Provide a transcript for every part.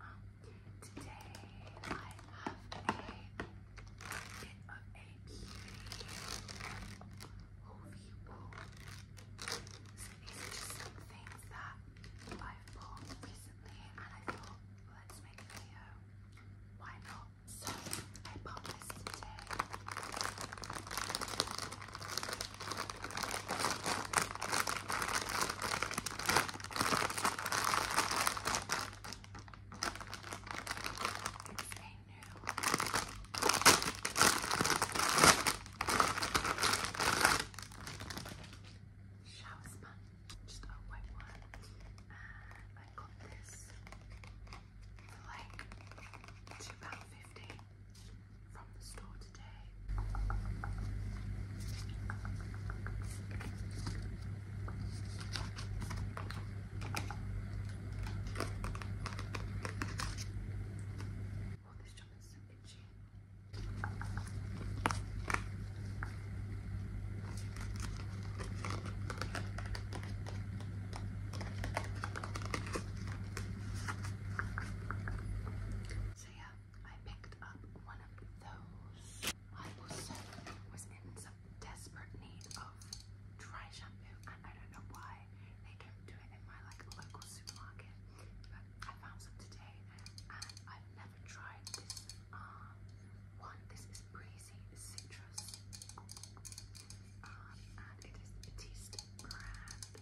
Um, today I have a bit of a beauty haul. So these are just some things that i bought recently and I thought let's make a video. Why not? So I bought this today. It's a shower sponge, just a white one. And I got this for like £2.50 from the store today. Oh, this So yeah, I picked up one of those. I was in some desperate need of dry shampoo, and I don't know why they don't do it in my like local supermarket. But I found some today, and I've never tried this uh, one. This is breezy citrus, um, and it is Batiste brand.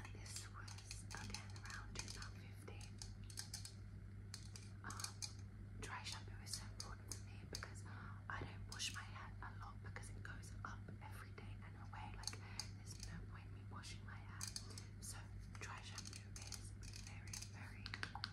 And this was again around 2015. Um, dry shampoo is so important for me because I don't wash my hair a lot because it goes up every day and away. Like there's no point me washing my hair. So dry shampoo is very, very important.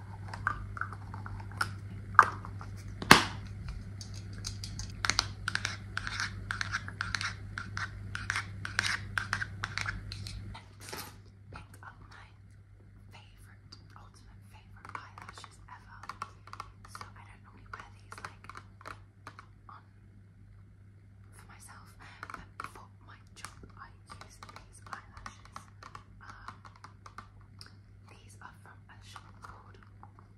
Picked up my favorite, ultimate favorite eyelashes ever. So I don't normally wear these like for myself, but for my job I use these eyelashes. Um, these are from a shop called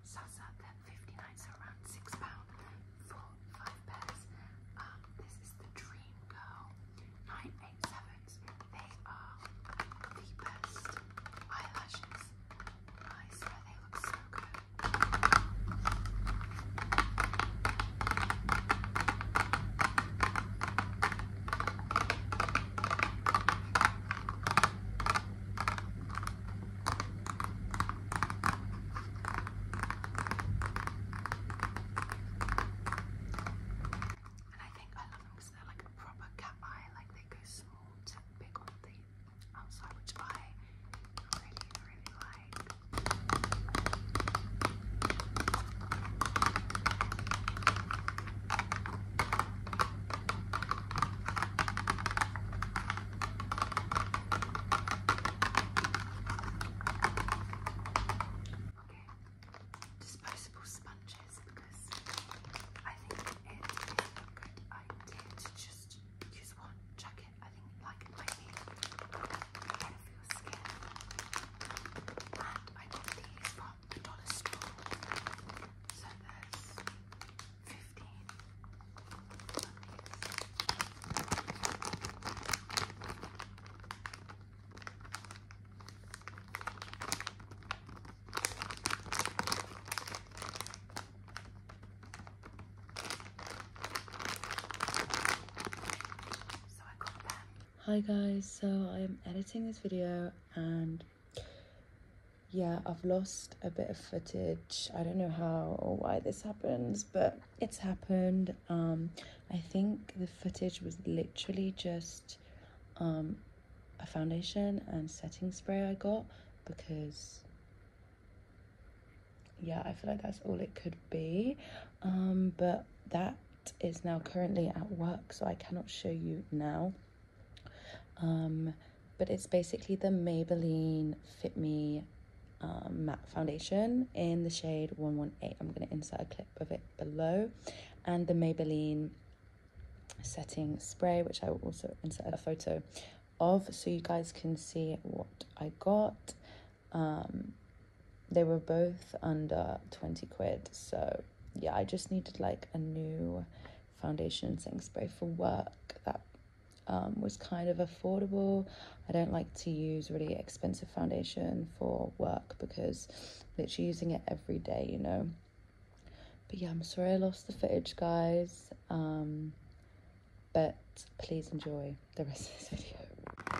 Sasa. They're 59, so around six pound for five pairs. Um, this is the Dream Girl 987s. They are the best eyelashes. I swear they look so good. And I think I love them because they're like a proper cat eye, like they go small to big on the outside, which I really, really like disposable sponges because I think it is good idea to just use one, chuck it. I think it might be skin. And I got these from dollar store. So that's fifteen. So I got them. Hi guys, so I'm editing this video and yeah, I've lost a bit of footage. I don't know how or why this happens, but it's happened. Um, I think the footage was literally just um, a foundation and setting spray I got because yeah, I feel like that's all it could be. Um, but that is now currently at work, so I cannot show you now. Um, but it's basically the Maybelline Fit Me um, matte foundation in the shade 118. I'm going to insert a clip of it below. And the Maybelline setting spray, which I will also insert a photo of so you guys can see what I got. Um, they were both under 20 quid. So, yeah, I just needed like a new foundation setting spray for work that um, was kind of affordable. I don't like to use really expensive foundation for work because literally using it every day, you know. But yeah, I'm sorry I lost the footage, guys. Um, but please enjoy the rest of this video.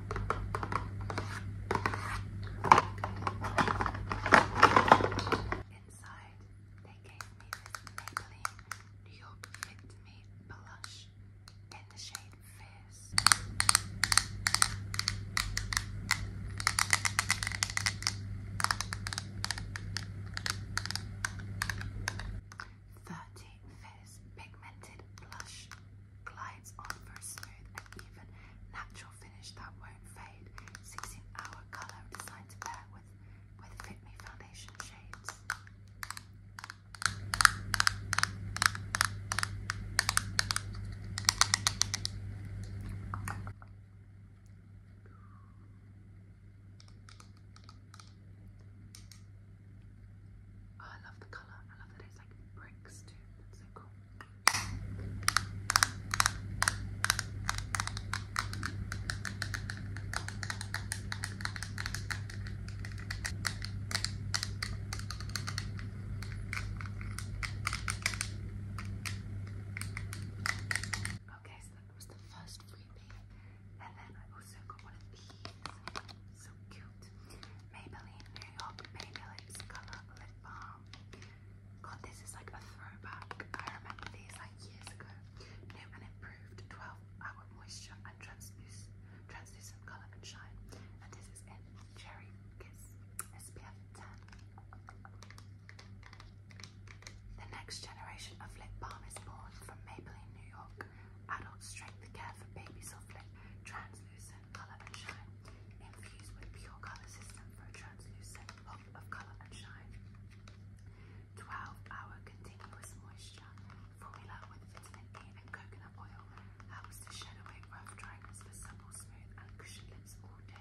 Inside, they gave me this Maybelline New York Fit Me blush in the shade Fierce. Thirty Fierce Pigmented Blush. Glides on for a smooth and even natural finish that won't fade. 16 hour colour designed to pair with, with Fit Me foundation shades. Oh, I love the colour. I love that it's like bricks too. That's so cool. Okay, so that was the first freebie, and then I also got one of these. So cute. Maybelline New York Baby Color Lip Balm. God, this is like a throwback. I remember these like years ago. New and improved 12 hour moisture and translucent, translucent color and shine. And this is in Cherry Kiss SPF 10. The next generation of lip balm is born from Maybelline New York. Adult strength care for baby soft lip, translucent color and shine, infused with pure color system for a translucent pop of color and shine. 12 hour continuous moisture formula with vitamin E and coconut oil helps to shed away rough dryness for supple, smooth, and cushioned lips all day.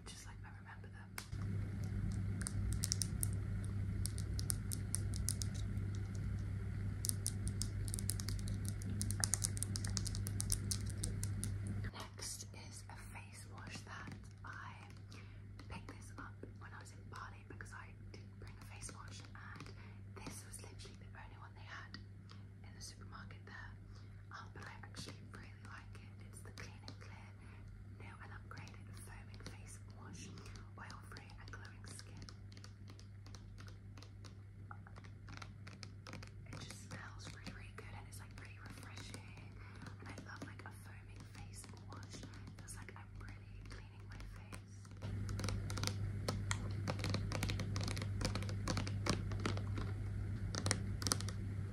Next is a face wash that I picked this up when I was in Bali because I didn't bring a face wash and this was literally the only one they had in the supermarket there. Um, but I actually really like it. It's the Clean Clear New and Upgraded Foaming Face Wash, oil-free and glowing skin. It just smells really, really good and it's like really refreshing. And I love like a foaming face wash. Feels like I'm really cleaning my face.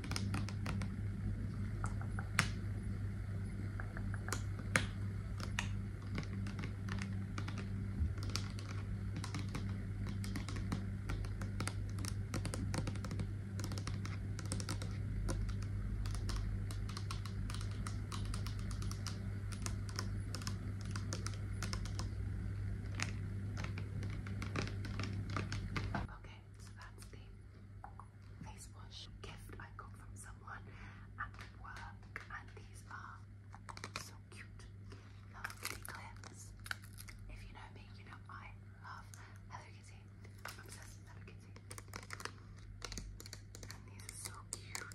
Okay, so that's the face wash gift I got from someone at work, and these are so cute. Love Kitty If you know me, you know I love Hello Kitty. obsessed with Hello Kitty. And these are so cute.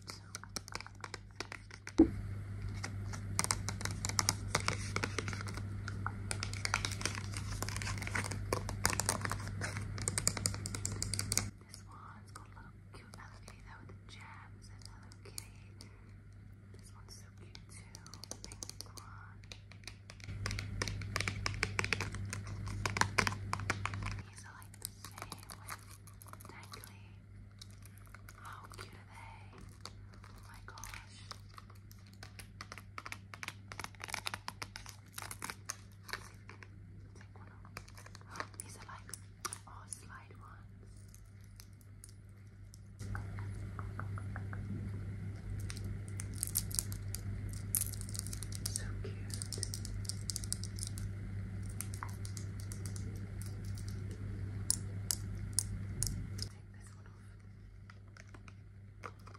This one's got a little cute Hello Kitty there with the gems and Hello Kitty. This one's so cute too. Pink one. These are like the same with dangly. How cute are they? Oh my gosh. Oh, these are like all ones. So cute. Take this one off.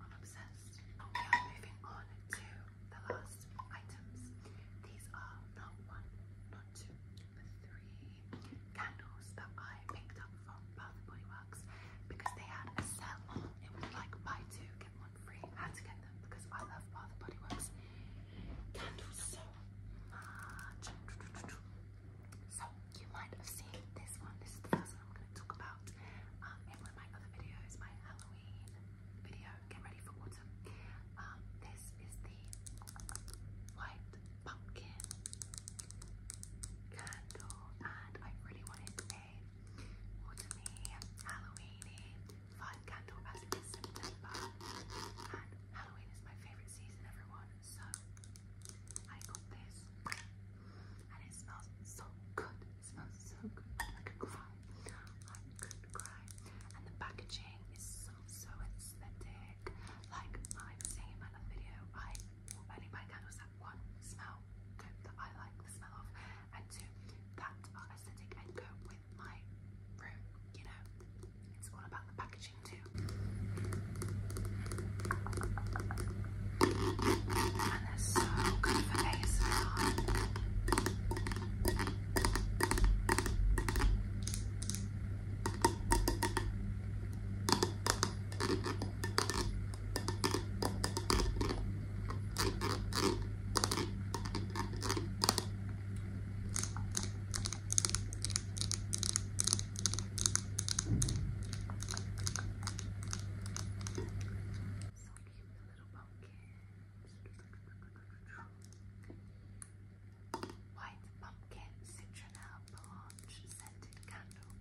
I'm obsessed. We are moving on to the last items. These are not one, not two, but three candles that I picked up from Bath and Body Works because they had a sale It was like buy two, get one free. had to get them because I love Bath and Body Works candles so much. So you might have seen this one. I'm going to talk about um, in one of my other videos, my Halloween video, Get Ready for Autumn. Um, this is the white pumpkin candle, and I really wanted a autumny, Halloweeny vibe candle as it is September, and Halloween is my favourite season, everyone. So I got this, and it smells so good. It smells so good. I could cry. I could cry. And the packaging is so, so aesthetic. Like I was saying in my other video, I only buy candles that one smell that I like the smell of, and two that are aesthetic and go with my room. You know, it's all about the packaging too. And they're so good for ASMR. White pumpkin, citronella, blanche, scented candle.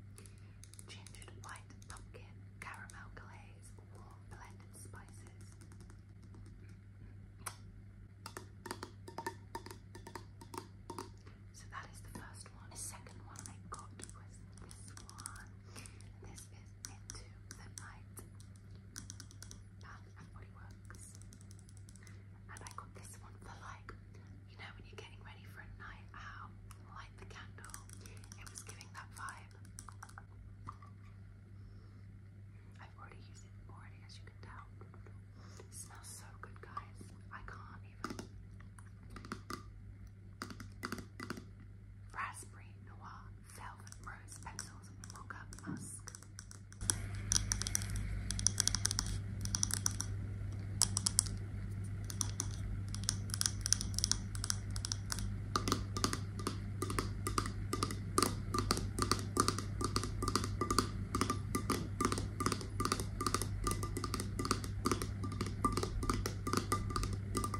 Gingered white pumpkin, caramel glaze, warm blended spices. So that is the first one. The second one I got was this one is Into the Night Bath and And I got this one for like, you know, when you're getting ready for a night out, light the candle. It was giving that vibe. I've already used it already, as you can tell. smells so good, guys. I can't even. Raspberry Noir Velvet Rose Pencils Mocha Musk. Wow,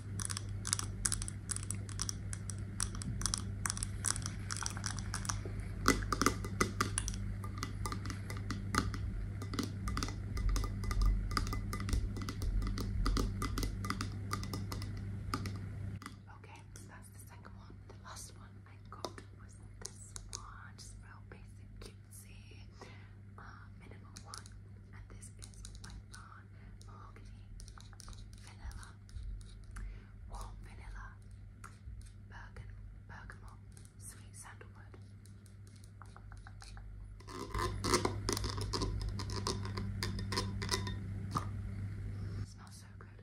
Okay, so that's the second one. The last one I got was this one, just real basic cutesy, uh, one, and this is my mahogany, vanilla, warm vanilla, bergam bergamot, sweet sandalwood. smells so good.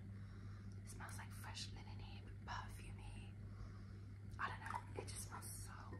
smells like fresh linen here, perfumey. I don't know, it just smells so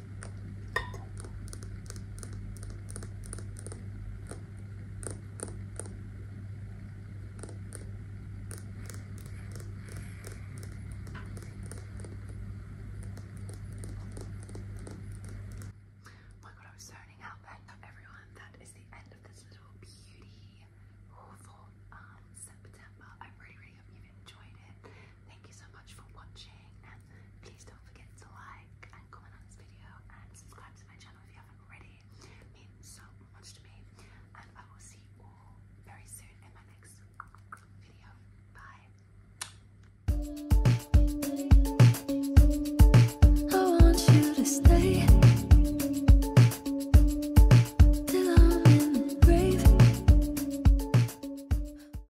Oh my god, I was zoning out then. Not everyone, that is the end of this little beauty haul for um, September. I really, really hope you've enjoyed it. Thank you so much for watching, and please don't forget to like and comment on this video and subscribe to my channel if you haven't already. means so much to me, and I will see you all very soon in my next video. Bye. I want you to stay. I'm in